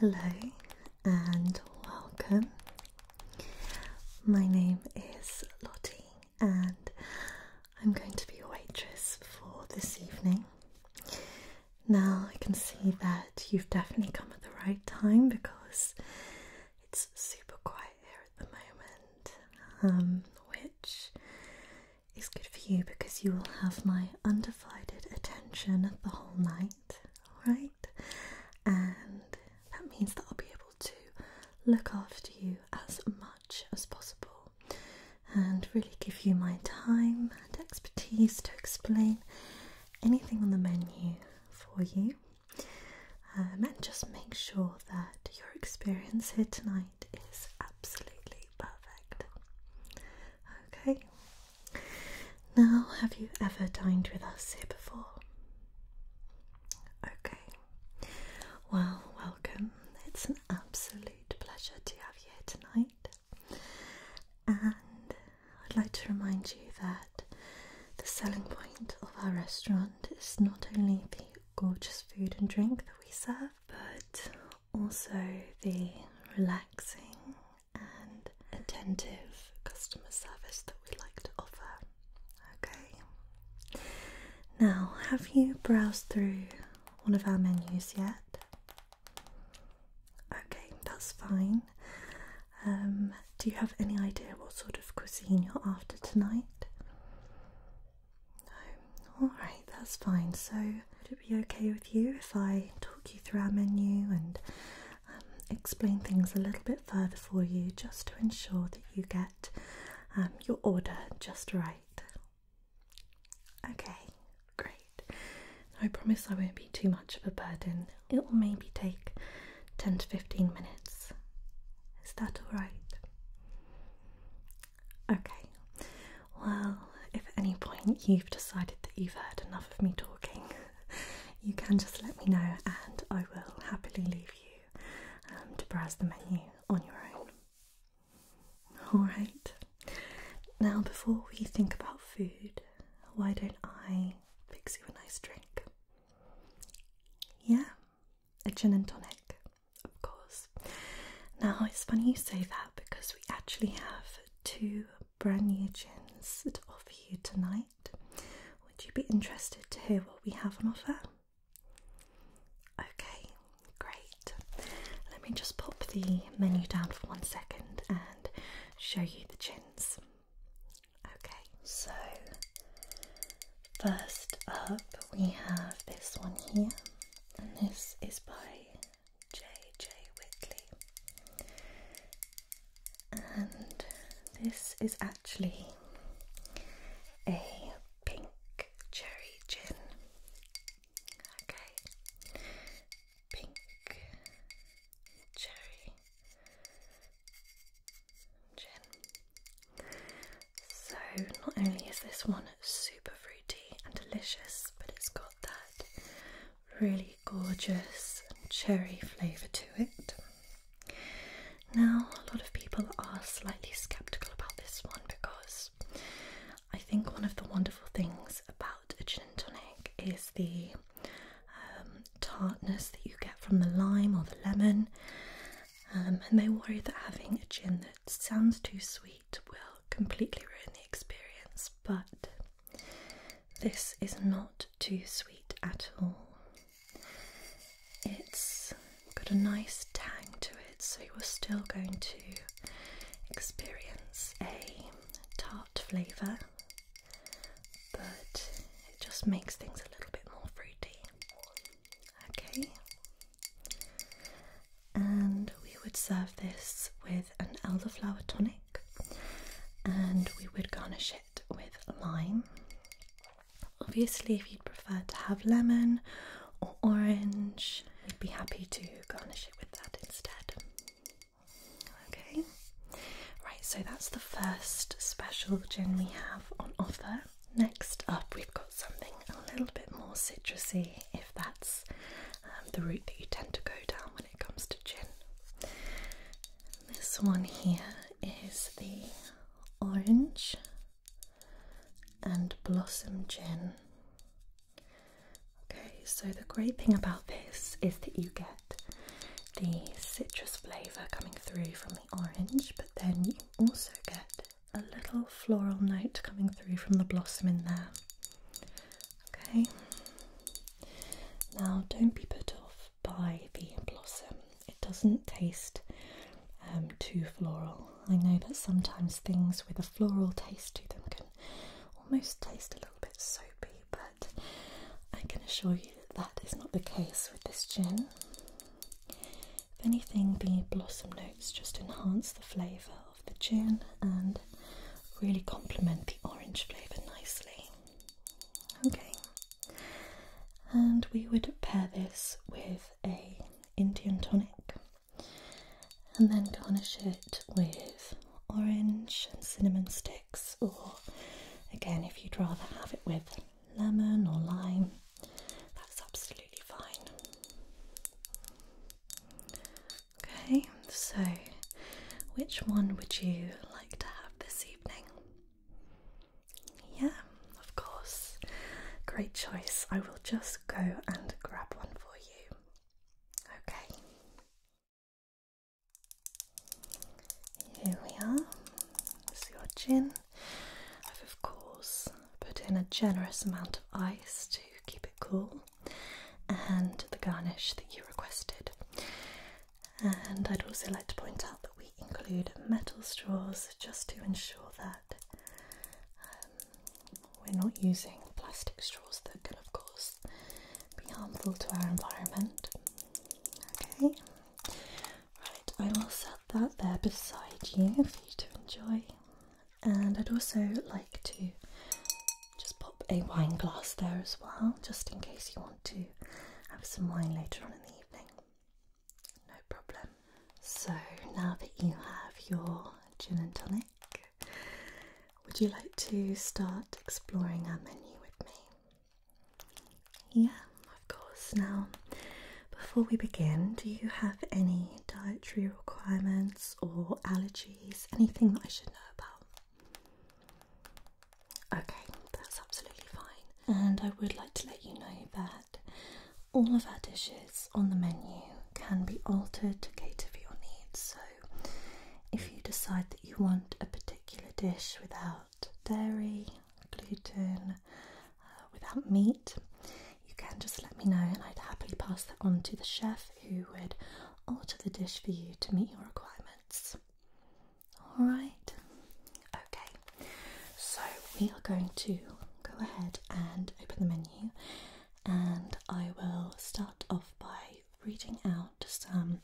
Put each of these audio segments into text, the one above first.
Hello and welcome. My name is Lottie, and I'm going to be your waitress for this evening. Now I can see that you've definitely come at the right time because it's super quiet here at the moment, um, which is good for you because you will have my undivided attention the whole night, right? And that means that I'll be able to look after you as much as possible and really give you my time and expertise to explain anything on the menu for you. Uh, and just make sure that your experience here tonight is absolutely perfect. Okay. Now, have you ever dined with us here before? Okay. Well, welcome. It's an absolute pleasure to have you here tonight. And I'd like to remind you that the selling point of our restaurant is not only the gorgeous food and drink that we serve, but also the relaxing and attentive customer service that we like to offer. Okay, now have you browsed through one of our menus yet? Okay, that's fine. Um, do you have any idea what sort of cuisine you're after tonight? No. Alright, that's fine. So, would it be okay with you if I talk you through our menu and um, explain things a little bit further for you just to ensure that you get um, your order just right? Okay, Great. I promise I won't be too much of a burden. It will maybe take 10 to 15 minutes. Is that alright? Okay. Well, if at any point you've decided that you've heard enough of me talking, you can just let me know and I will happily leave you um, to browse the menu on your own. Alright. Now, before we think about food, why don't I fix you a nice drink? Yeah, a gin and tonic, of course. Now, it's funny you say that because we actually have two brand new gins to offer you tonight. Would you be interested to hear what we have on offer? Okay, great. Let me just pop the menu down for one second show you the chins. Okay, so first up we have this one here, and this is by J.J. Whitley. And this is actually a pink cherry gin. Okay, pink, cherry, gin. So, not only is this one super fruity and delicious, but it's got that really gorgeous cherry flavour to it. Now, a lot of people are slightly sceptical about this one because I think one of the wonderful things about a gin and tonic is the um, tartness that you get from the lime or the lemon. Um, and they worry that having a gin that sounds too sweet will completely ruin the experience, but this is not too sweet at all. It's got a nice tang to it, so you're still going to experience a flavour, but it just makes things a little bit more fruity. Okay, and we would serve this with an elderflower tonic, and we would garnish it with lime. Obviously, if you'd prefer to have lemon or orange, we'd be happy to garnish it with that instead. Okay, right, so that's the first special gin we have on offer. Next up, we've got something a little bit more citrusy, if that's um, the route that you tend to go down when it comes to gin. This one here is the orange and blossom gin Okay, so the great thing about this is that you get the citrus flavour coming through from the orange, but then you also get a little floral note coming through from the blossom in there. Okay, now don't be put off by the blossom, it doesn't taste um, too floral. I know that sometimes things with a floral taste to them can almost taste a little bit soapy but I can assure you that that is not the case with this gin. If anything, the blossom notes just enhance the flavour of the gin and really complement the orange flavour nicely. Okay, and we would pair this with a Indian tonic and then garnish it with orange and cinnamon sticks, or again, if you'd rather have it with lemon or lime, that's absolutely fine. Okay, so which one would you like to have this evening? Yeah, of course. Great choice. I will just go and grab one for you. Okay. Here we are. This is your gin. I've of course put in a generous amount of ice to keep it cool and the garnish that you requested. And I'd also like to point out that we include metal straws just to ensure that um, we're not using plastic straws that can, of course, be harmful to our environment. Okay, right, I will set that there beside you for you to enjoy. And I'd also like to just pop a wine glass there as well, just in case you want to have some wine later on in the evening. No problem. So now that you have your gin and tonic, would you like to start exploring our menu with me? Yeah, of course. Now, before we begin, do you have any dietary requirements or allergies? Anything that I should know about? Okay, that's absolutely fine. And I would like to let you know that all of our dishes on the menu can be altered to cater for your needs if you decide that you want a particular dish without dairy, gluten, uh, without meat, you can just let me know and I'd happily pass that on to the chef who would alter the dish for you to meet your requirements. Alright, okay, so we are going to go ahead and open the menu and I will start off by reading out some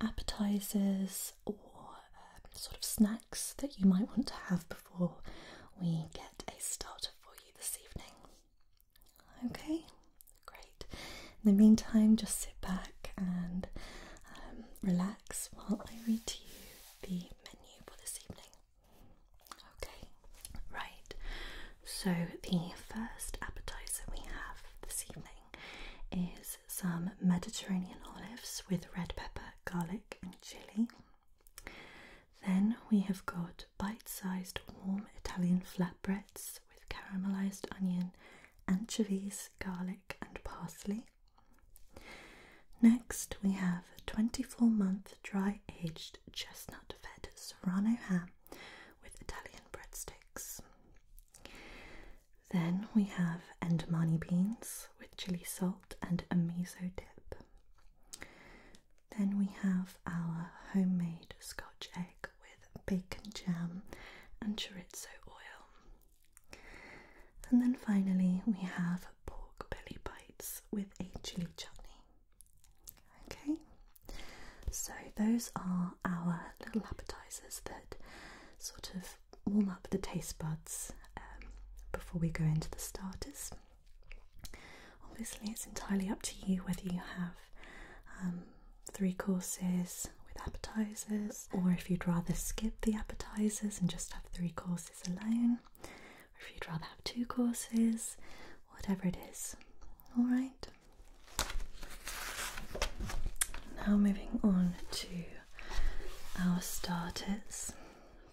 appetizers or um, sort of snacks that you might want to have before we get a starter for you this evening. Okay, great. In the meantime, just sit back and um, relax while I read to you the menu for this evening. Okay, Right, so the first appetizer we have this evening is some Mediterranean olives with red pepper, garlic, and chili. Then we have got bite sized warm Italian flatbreads with caramelized onion, anchovies, garlic, and parsley. Next, we have 24 month dry aged chestnut fed serrano ham with Italian breadsticks. Then we have Endemani beans with chili salt and a miso dip. Then we have our homemade scotch egg with bacon jam and chorizo oil. And then finally we have pork belly bites with a chili chutney. Okay, so those are our little appetizers that sort of warm up the taste buds um, before we go into the starters. Obviously, it's entirely up to you whether you have um, three courses with appetizers, or if you'd rather skip the appetizers and just have three courses alone, or if you'd rather have two courses, whatever it is. Alright, now moving on to our starters.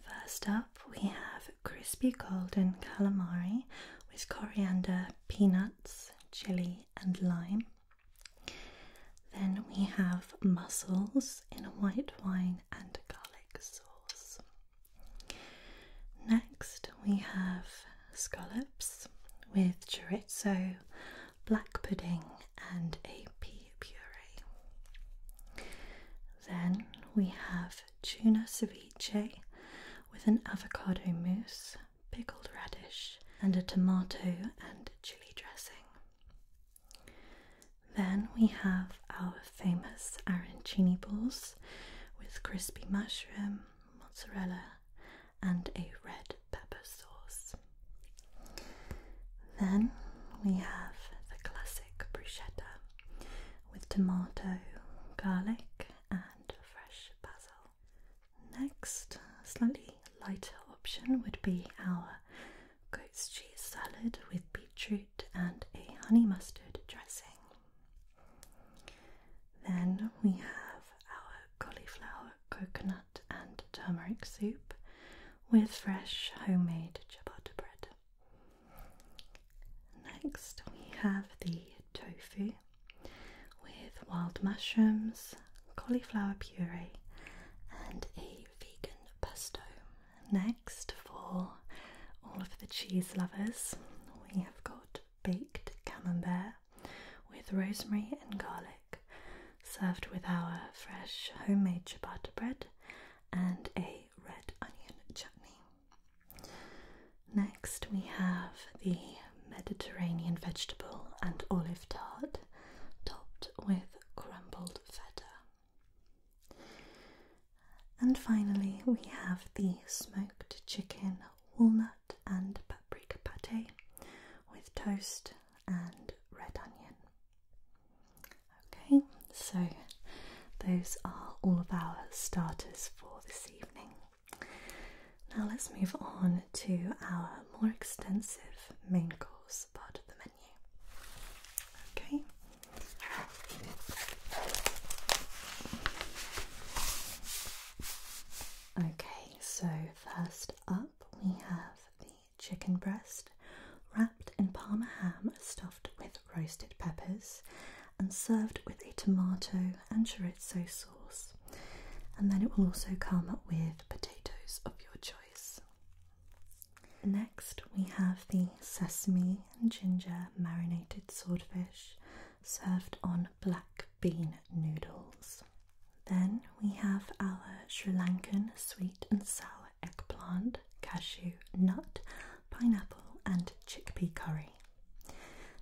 First up, we have crispy golden calamari with coriander, peanuts, chili, and lime. Then we have mussels in white wine and garlic sauce. Next, we have scallops with chorizo, black pudding, and a pea puree. Then we have tuna ceviche with an avocado mousse, pickled radish, and a tomato and chili dressing. Then we have our famous arancini balls with crispy mushroom, mozzarella, and a red pepper sauce. Then we have the classic bruschetta with tomato, garlic, and fresh basil. Next, a slightly lighter option would be our goat's cheese salad with beetroot and a honey mustard dressing. Then we have our cauliflower, coconut, and turmeric soup with fresh homemade ciabatta bread. Next, we have the tofu with wild mushrooms, cauliflower puree, and a vegan pesto. Next, for all of the cheese lovers, we have got baked camembert with rosemary and garlic, served with our fresh homemade ciabatta bread and a red onion chutney. Next, we have the Mediterranean vegetable and olive tart topped with crumbled feta. And finally, we have the smoked chicken walnut and paprika pate with toast and red onion. Okay, so those are all of our starters for this evening. Now let's move on to our more extensive main course part of the menu. Okay. Okay, so first up we have the chicken breast wrapped in parma ham, stuffed with roasted peppers, and served with a tomato and chorizo sauce. And then it will also come with potatoes of your choice. Next, we have the sesame and ginger marinated swordfish served on black bean noodles. Then we have our Sri Lankan sweet and sour eggplant, cashew, nut, pineapple, and chickpea curry.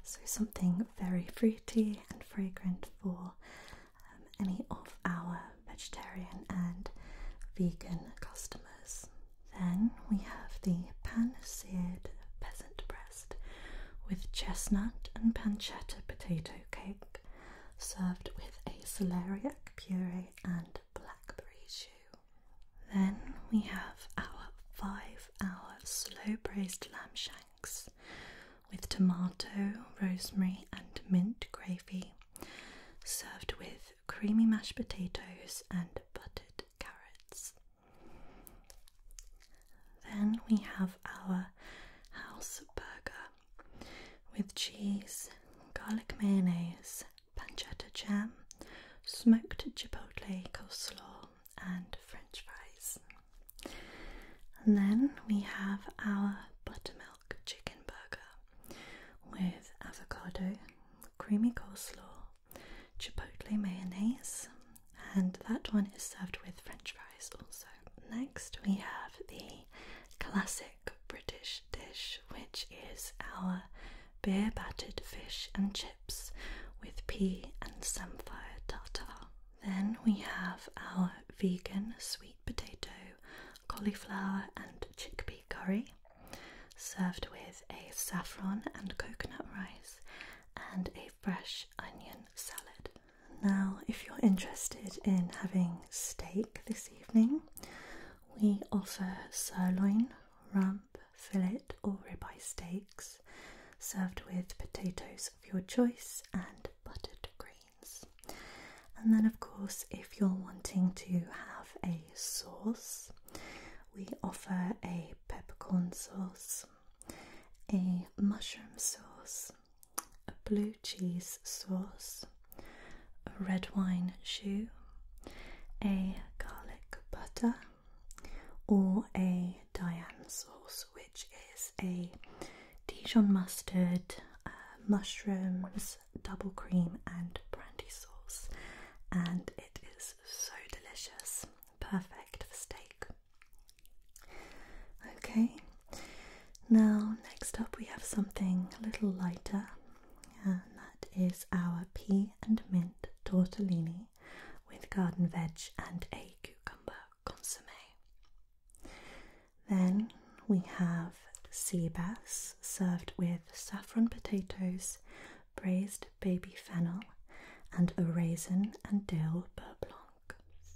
So, something very fruity and fragrant for um, any of our vegetarian and vegan customers. Then we have the pan seared peasant bread with chestnut and pancetta potato cake served with a celeriac puree and blackberry jus. Then we have our five hour slow braised lamb shanks with tomato, rosemary, and mint gravy, served with creamy mashed potatoes and buttered carrots. Then we have our house burger with cheese, garlic mayonnaise, pancetta jam, smoked chipotle coleslaw, and french fries. And then we have our buttermilk chicken burger with avocado, creamy coleslaw, chipotle mayonnaise, and that one is served with french fries also. Next, we have the classic British dish, which is our beer battered fish and chips with pea and samphire tartar. Then we have our vegan sweet potato, cauliflower, and chickpea curry, served with a saffron and coconut rice and a fresh onion salad. Now, if you're interested in having steak this evening, we offer sirloin, rump, fillet, or ribeye steaks served with potatoes of your choice and buttered greens. And then, of course, if you're wanting to have a sauce, we offer a peppercorn sauce a mushroom sauce, a blue cheese sauce, a red wine shoe, a garlic butter, or a Diane sauce, which is a Dijon mustard, uh, mushrooms, double cream, and brandy sauce. And it is so delicious. Perfect perfect steak. Okay, now next up we have something a little lighter, and that is our pea and mint tortellini with garden veg and a cucumber consomme. Then we have sea bass served with saffron potatoes, braised baby fennel and a raisin and dill beurre blanc.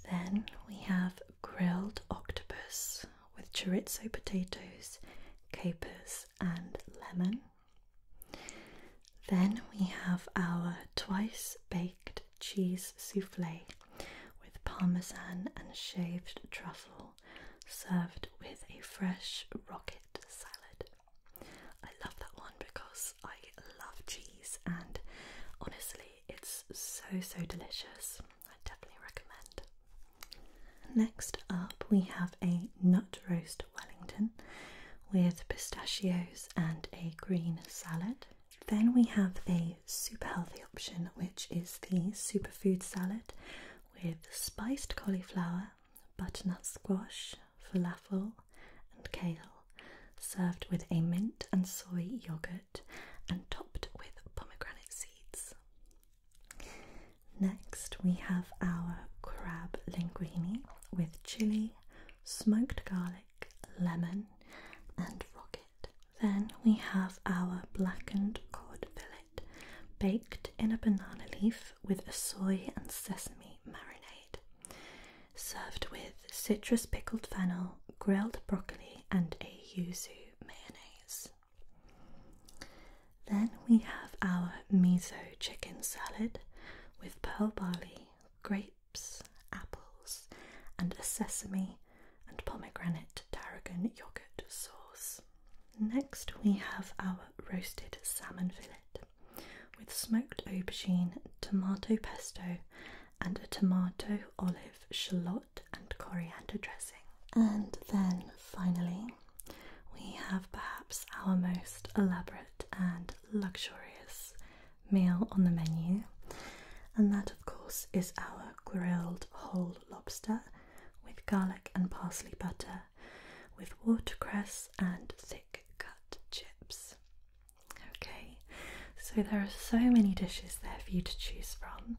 Then we have grilled octopus with chorizo potatoes, capers, and lemon. Then we have our twice baked cheese souffle with parmesan and shaved truffle served with a fresh rocket salad. I love that one because I love cheese and honestly it's so so delicious. I definitely recommend. Next up we have a nut roast Wellington with pistachios and a green salad. Then we have a super healthy option which is the superfood salad with spiced cauliflower, butternut squash, falafel, and kale, served with a mint and soy yogurt and topped with pomegranate seeds. Next, we have our crab linguine with chili, smoked garlic, lemon, and rocket. Then we have our blackened cod fillet baked in a banana leaf with a soy and sesame marinade served with citrus pickled fennel, grilled broccoli, and a yuzu mayonnaise. Then we have our miso chicken salad with pearl barley, grapes, apples, and a sesame and pomegranate tarragon yogurt sauce. Next, we have our roasted salmon fillet with smoked aubergine, tomato pesto, and a tomato, olive, shallot, and coriander dressing. And then finally, we have perhaps our most elaborate and luxurious meal on the menu, and that, of course, is our grilled whole lobster with garlic and parsley butter with watercress and thick cut chips. Okay, so there are so many dishes there for you to choose from.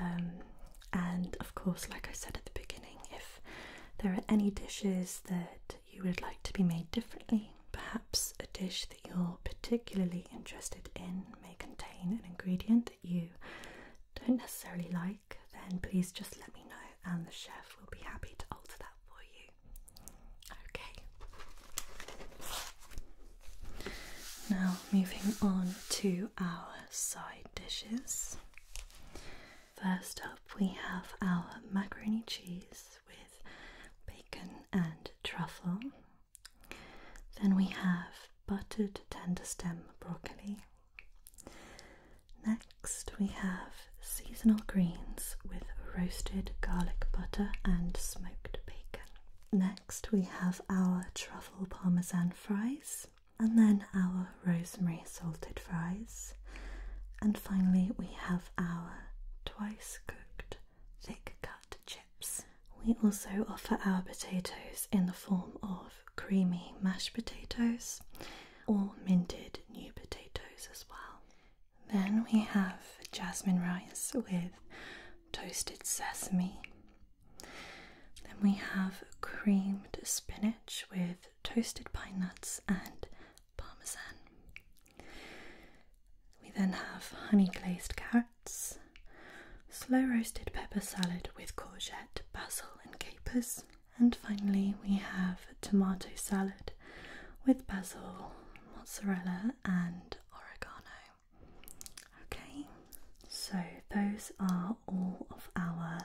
Um, and of course, like I said at the beginning, if there are any dishes that you would like to be made differently, perhaps a dish that you're particularly interested in may contain an ingredient that you don't necessarily like, then please just let me know and the chef will be happy to alter that Okay. Now, moving on to our side dishes. First up, we have our macaroni cheese with bacon and truffle. Then we have buttered tender stem broccoli. Next, we have seasonal greens with roasted garlic butter and smoked bacon. Next, we have our truffle parmesan fries, and then our rosemary salted fries. And finally, we have our twice cooked thick cut chips. We also offer our potatoes in the form of creamy mashed potatoes or minted new potatoes as well. Then we have jasmine rice with toasted sesame. Then we have creamed spinach with toasted pine nuts and parmesan. We then have honey glazed carrots, slow roasted pepper salad with courgette, basil, and capers, and finally, we have tomato salad with basil, mozzarella, and oregano. Okay, so those are all of our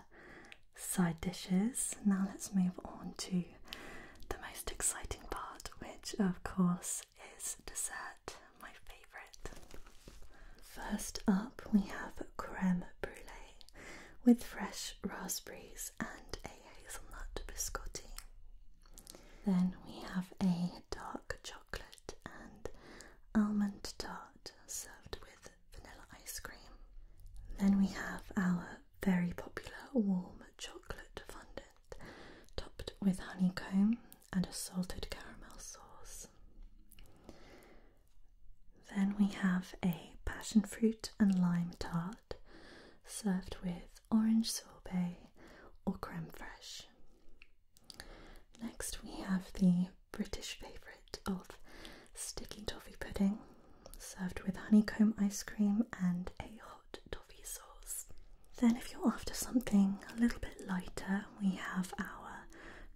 side dishes. Now let's move on to the most exciting part, which of course is dessert, my favourite. First up, we have creme brulee with fresh raspberries and a hazelnut biscotti. Then we have a dark chocolate and almond tart served with vanilla ice cream. Then we have our very popular warm chocolate fondant topped with honeycomb and a salted caramel sauce. Then we have a passion fruit and lime tart served with orange sorbet or creme fraiche. Next, we have the British favourite of sticky toffee pudding served with honeycomb ice cream and a hot toffee sauce. Then, if you're after something a little bit lighter, we have our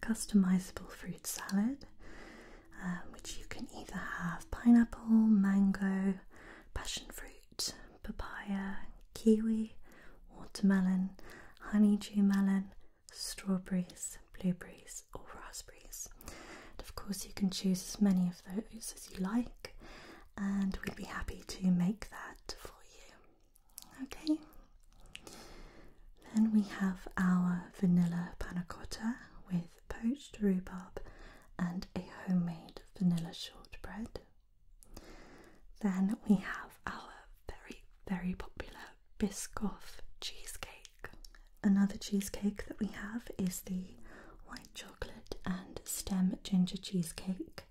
customisable fruit salad. Um, which you can either have pineapple, mango, passion fruit, papaya, kiwi, watermelon, honeydew melon, strawberries, blueberries, or raspberries. of course, you can choose as many of those as you like, and we'd be happy to make that for you. Okay. Then we have our vanilla panna cotta with poached rhubarb and a homemade vanilla shortbread. Then we have our very, very popular Biscoff cheesecake. Another cheesecake that we have is the white chocolate and stem ginger cheesecake,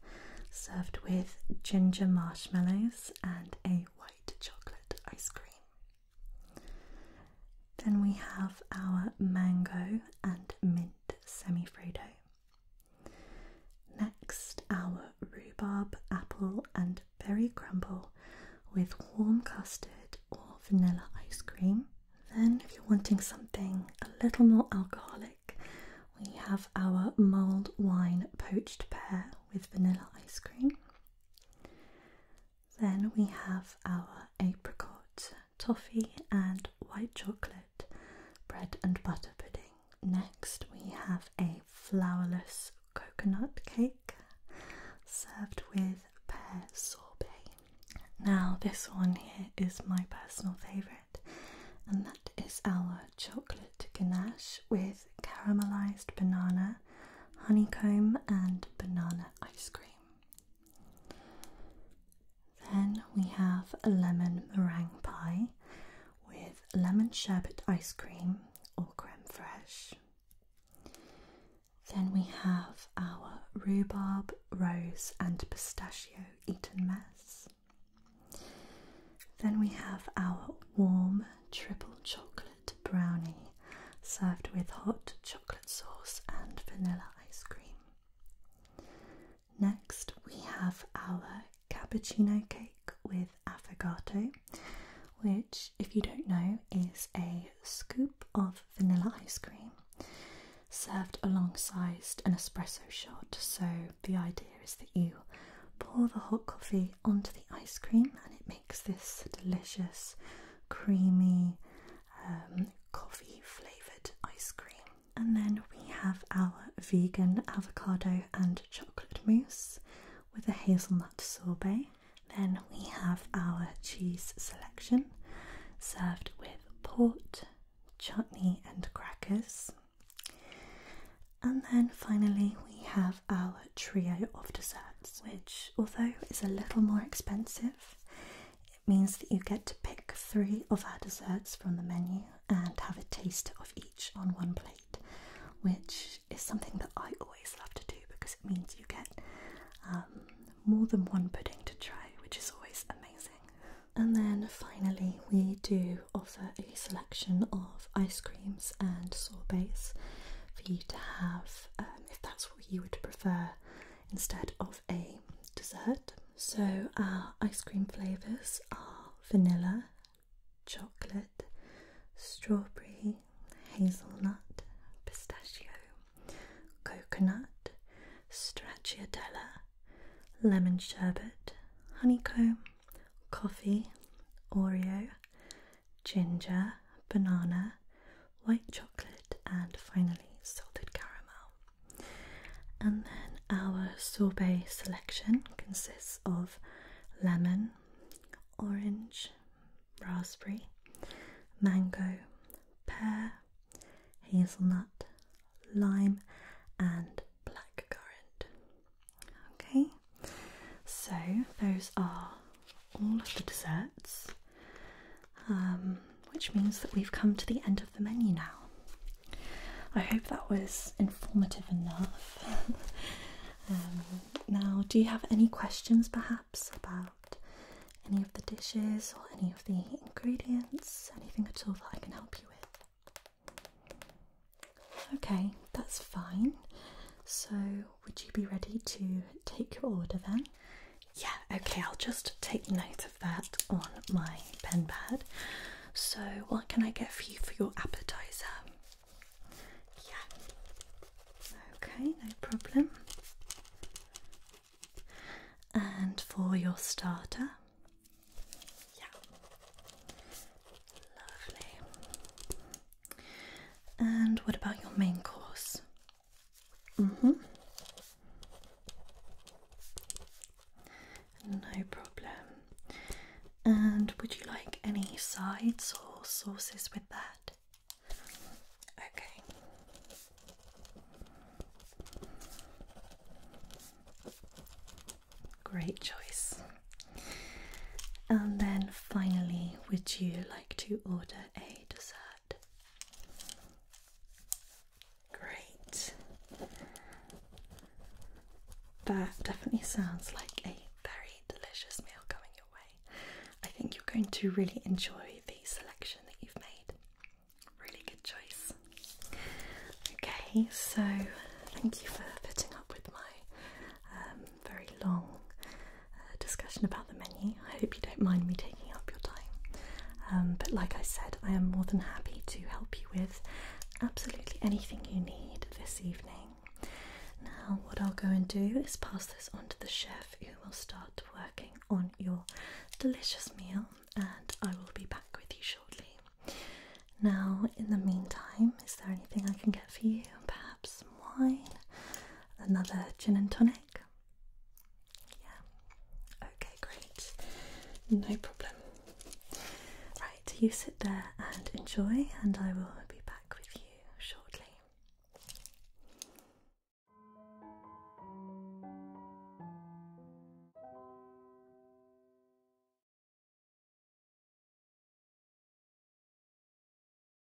served with ginger marshmallows and a white chocolate ice cream. Then we have our mango and mint semifredo. Next, our rhubarb, apple, and berry crumble with warm custard or vanilla ice cream. Then, if you're wanting something a little more alcoholic, we have our mulled wine poached pear with vanilla ice cream. Then we have our apricot, toffee, and white chocolate bread and butter pudding. Next, we have a flourless coconut cake served with pear sorbet. Now, this one here is my personal favourite, and that is our chocolate ganache with caramelised banana, honeycomb, and banana ice cream. Then we have a lemon meringue pie with lemon sherbet ice cream or creme fraiche. Then we have our rhubarb, rose, and pistachio eaten mess. Then we have our warm triple chocolate brownie served with hot chocolate sauce and vanilla ice cream. Next, we have our cappuccino cake with affogato, which, if you don't know, is a scoop of vanilla ice cream served alongside an espresso shot. So, the idea is that you pour the hot coffee onto the ice cream and it makes this delicious, creamy, um, coffee flavoured ice cream. And then we have our vegan avocado and chocolate mousse with a hazelnut sorbet. Then we have our cheese selection served with port, chutney, and crackers. And then finally, we have our trio of desserts, which, although is a little more expensive, it means that you get to pick three of our desserts from the menu and have a taste of each on one plate, which is something that I always love to do because it means you get um, more than one pudding to try, which is always amazing. And then finally, we do offer a selection of ice creams and sorbets for you to have um, if that's that's you would prefer instead of a dessert. So, our ice cream flavours are vanilla, chocolate, strawberry, hazelnut, pistachio, coconut, stracciatella, lemon sherbet, honeycomb, coffee, Oreo, ginger, banana, white chocolate, and finally salted caramel. And then our sorbet selection consists of lemon, orange, raspberry, mango, pear, hazelnut, lime, and blackcurrant. Okay, so those are all of the desserts, um, which means that we've come to the end of the menu now. I hope that was informative enough. Um, now, do you have any questions perhaps about any of the dishes or any of the ingredients? Anything at all that I can help you with? Okay, that's fine. So, would you be ready to take your order then? Yeah, okay, I'll just take note of that on my pen pad. So, what can I get for you for your appetizer? Yeah, okay, no problem. And for your starter? Yeah, lovely. And what about your main course? Mm-hmm. No problem. And would you like any sides or sauces with that? Okay. Great choice. And then finally, would you like to order a dessert. Great. That definitely sounds like a very delicious meal coming your way. I think you're going to really enjoy the selection that you've made. Really good choice. Okay, so thank you for fitting up with my um, very long uh, discussion about the menu. I hope you don't mind me taking up your time. Um, but like I said, I am more than happy to help you with absolutely anything you need this evening. Now, what I'll go and do is pass this on to the chef who will start working on your delicious meal, and I will be back with you shortly. Now, in the meantime, is there anything I can get for you? Perhaps wine? another gin and tonic? Yeah. Okay, great. No problem. Right, you sit there and enjoy, and I will be back with you shortly.